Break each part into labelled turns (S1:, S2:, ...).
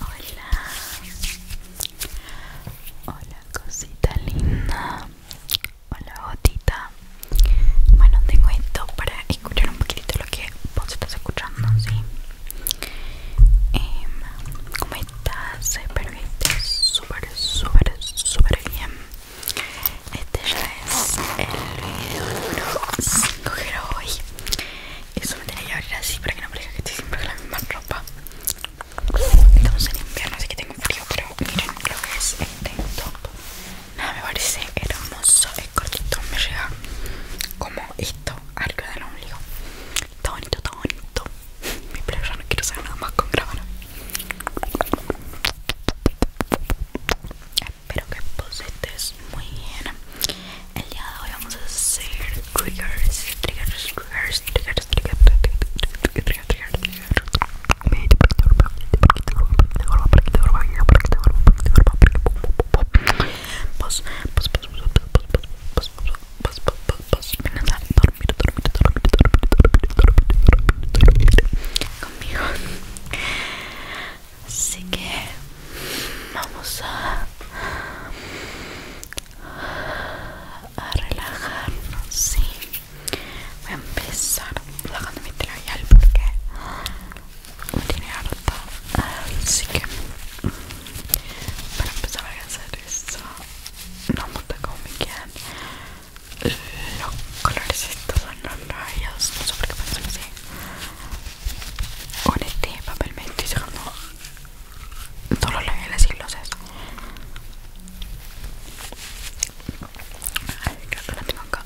S1: Hola, hola cosita linda, hola gotita, bueno tengo esto para escuchar un poquitito lo que vos estás escuchando sí eh, cómo estás espero que súper súper súper bien este ya es el video número 5 que hoy eso me tenía que abrir así para que no parezca que estoy siempre con la misma ropa Estamos en invierno así que tengo frío, pero miren lo que es este top Nada, me parece hermoso, es cortito, me llega como esto, arriba del ombligo. Está bonito, está bonito. pero ya no quiero hacer nada más con grabar. Espero que vos estés muy bien. El día de hoy vamos a hacer triggers, triggers, triggers, triggers, triggers, triggers, triggers, triggers, triggers, triggers, triggers. triggers así que vamos a a relajarnos sí voy a empezar relajando mi porque me tiene harta así que para empezar a hacer eso no me gusta como me quedan los colores estos son los rayos no sé por qué pasan así con este papel me estoy sacando todos los labiales y glosses creo que lo tengo acá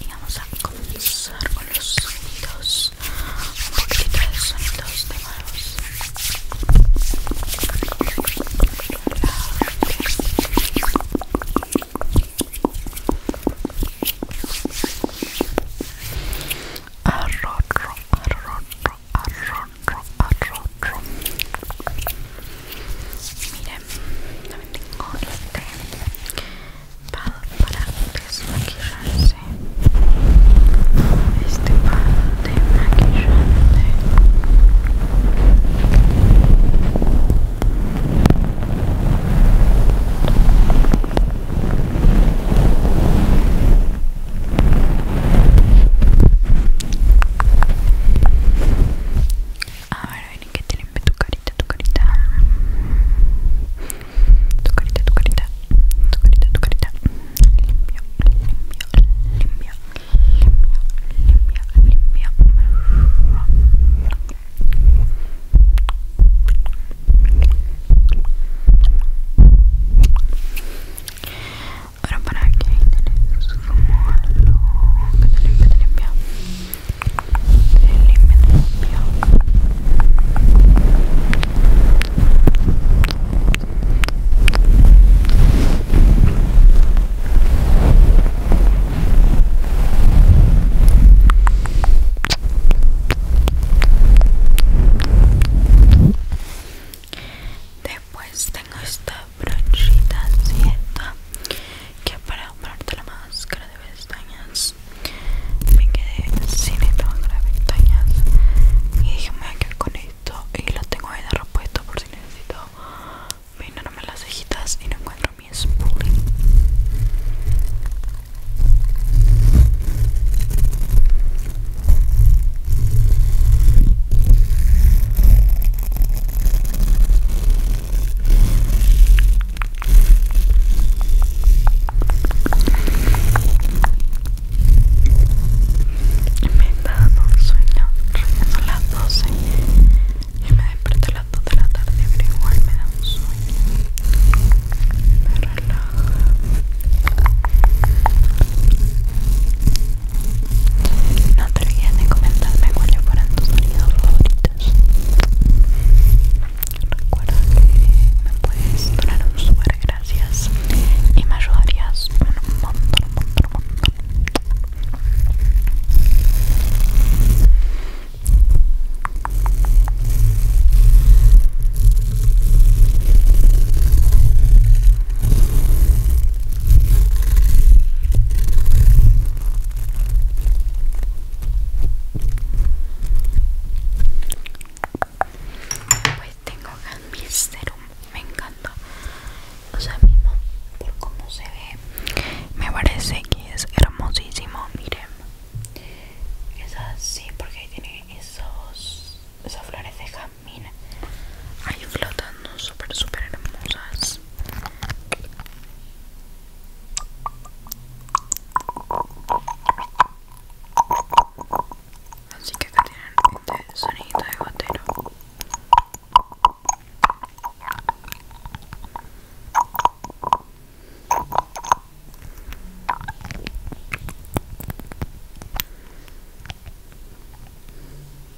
S1: y vamos a comenzar con los sonidos, un poquito de sonidos de manos arroz, arroz, Mire, Miren, también tengo este pad para desmaquillarse. Este pad de maquillaje a ver, ven que te limpie tu carita, tu carita. Tu carita, tu carita. Tu carita, tu carita. Limpio, limpio, limpio, limpio, limpio. Ahora para aquí tenés como que te limpia, te limpia. Después tengo esto y esta que para comprarte la máscara de pestañas me quedé sin esta máscara de pestañas y dije me voy a quedar con esto y lo tengo ahí de repuesto por si necesito me las cejitas y no encuentro mi spooling me he dado un sueño a las 12 y me despierto a las 2 de la tarde, pero igual me da un sueño. Me relaja. No te olvides de comentarme cuáles fueron tus sonidos favoritos. Recuerda que me puedes donar un super gracias y me ayudarías un montón, un montón, un montón. Pues tengo mi serum, me encanta. O sea, mismo por cómo se ve, me parece que es hermosísimo. Miren, es así porque tiene esos, esas flores de mira ahí flotando súper súper hermosas así que acá tienen este sonido de gotero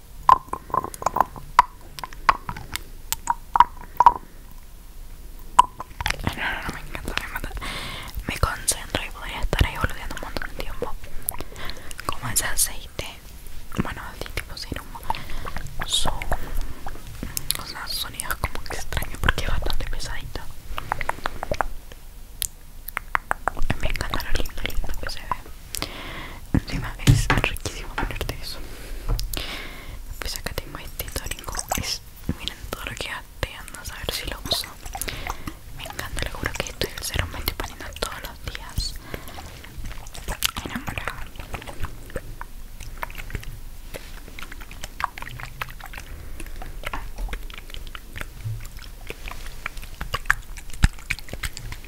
S1: No, no, no, me encanta, me Me concentro y podría estar ahí boludeando un montón de tiempo. Como ese aceite, bueno, así tipo sin humo, son o sea, sonidos como extraño porque es bastante pesadito. Me encanta lo lindo, lindo que se ve. Encima es riquísimo ponerte eso. Pues acá tengo este tónico. Es, miren todo lo que hace, a ver si lo uso. Me encanta, le juro que estoy es me estoy poniendo todos los días. Enamorada.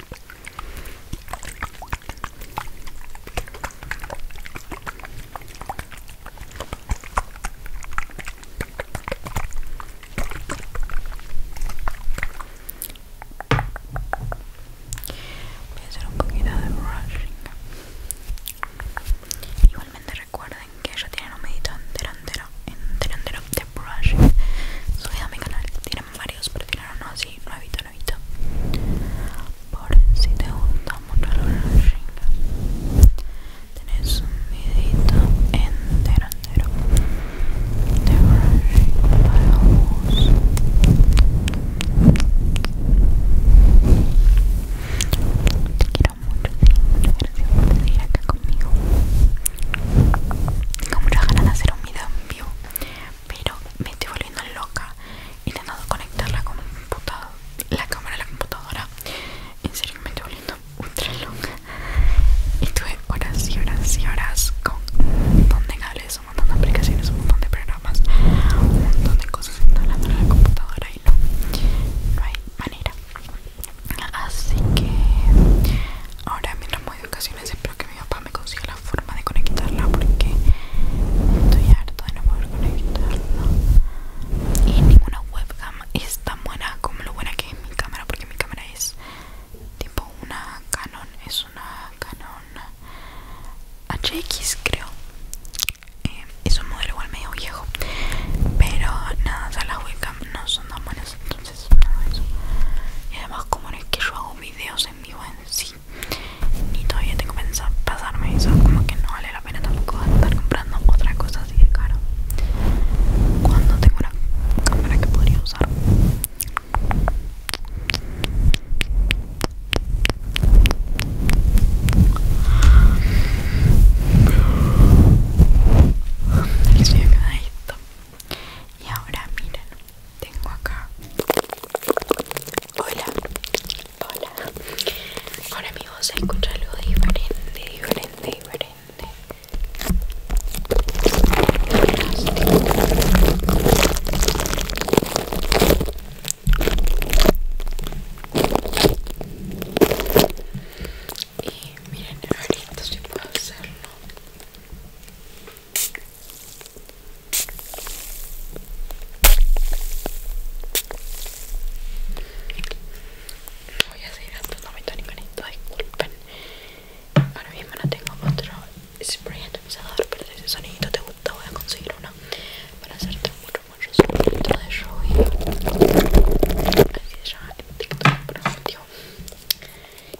S1: Voy a hacer un poquito de brushing. Igualmente recuerden que ya tienen un medito entero, entero, entero, de brushing subido a mi canal varios prefiero no así, nuevito, nuevito por si te gusta mucho el Roshringa tenés un videito entero, entero de brushing para vos te quiero mucho, sí, gracias por venir acá conmigo tengo muchas ganas de hacer un video pero me estoy volviendo loca intentando conectar la la cámara a la computadora en serio me estoy volviendo ultra loca y tuve horas y horas y horas con un montón de cables un montón de aplicaciones un montón de programas un montón de cosas instalando en la computadora y no no hay manera así que ahora mientras voy de espero que mi papá me consiga la forma de conectarla porque estoy harto de no poder conectarla y ninguna webcam es tan buena como lo buena que es mi cámara porque mi cámara es tipo una Canon es una Canon HX creo eh, es un modelo igual medio viejo pero nada o sea, las webcams no son tan buenas y además como no es que yo hago videos en vivo en sí ni todavía tengo pensado pasarme eso como que no vale la pena tampoco estar comprando otra cosa así de caro cuando tengo una cámara que podría usar y si esto y ahora miren, tengo acá. Hola, hola. Ahora amigos voz se escucha algo diferente, diferente, diferente. Y miren, ahorita si puedo hacerlo. Voy a seguir gastando mi bonito, disculpen. Ahora mismo no tengo otro spray atomizador, pero si ese sonidito te gusta, voy a conseguir uno para hacerte mucho, mucho sonido de show. Así se llama en TikTok por motivo.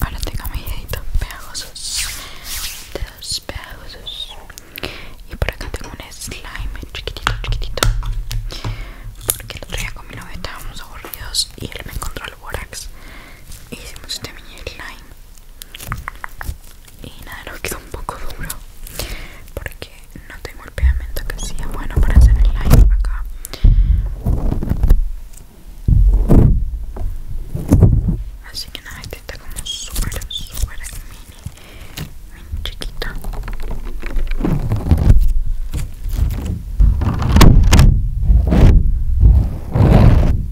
S1: Ahora tengo mi pegajosos, dedos pegajosos. Y por acá tengo un slime chiquitito, chiquitito. Porque el otro día con mi novia estábamos aburridos y él me encontró el borax. Y hicimos este mini slime y nada, nos quedó un poco duro porque no tengo el pegamento que sea bueno para hacer el live acá. Así que nada, este está como súper, súper mini, Muy chiquito.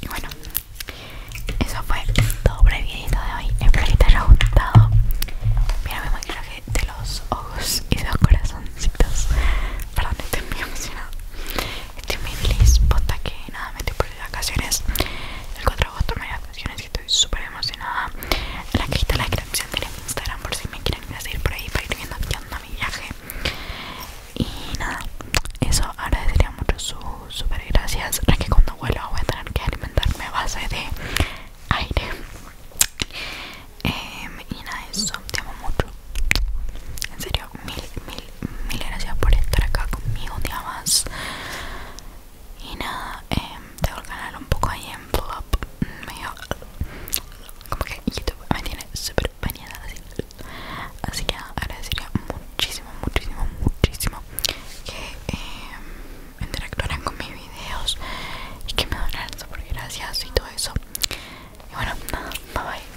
S1: Y bueno, eso fue todo por el video de hoy. Espero que te haya gustado. Mira mi maquillaje de los ojos y de los corazoncitos. Perdón, estoy muy emocionada. Estoy muy feliz, nada, me estoy por las vacaciones. El 4 de agosto me voy de vacaciones y estoy súper emocionada. la cajita de la descripción de mi Instagram por si me quieren seguir por ahí para ir viendo haciendo mi viaje. Y nada, eso agradecería mucho su super gracias. Es que cuando vuelva voy a tener que alimentarme a base de aire. Em, y nada, eso, te amo mucho. En serio, mil, mil, mil gracias por estar acá conmigo un día más. Y nada, em, tengo el canal un poco ahí en flop. Medio. Como que YouTube me tiene súper bañada así. Así que agradecería muchísimo, muchísimo, muchísimo que em, interactuaran con mis videos y que me donaran súper gracias y todo eso. Y bueno, nada, bye bye.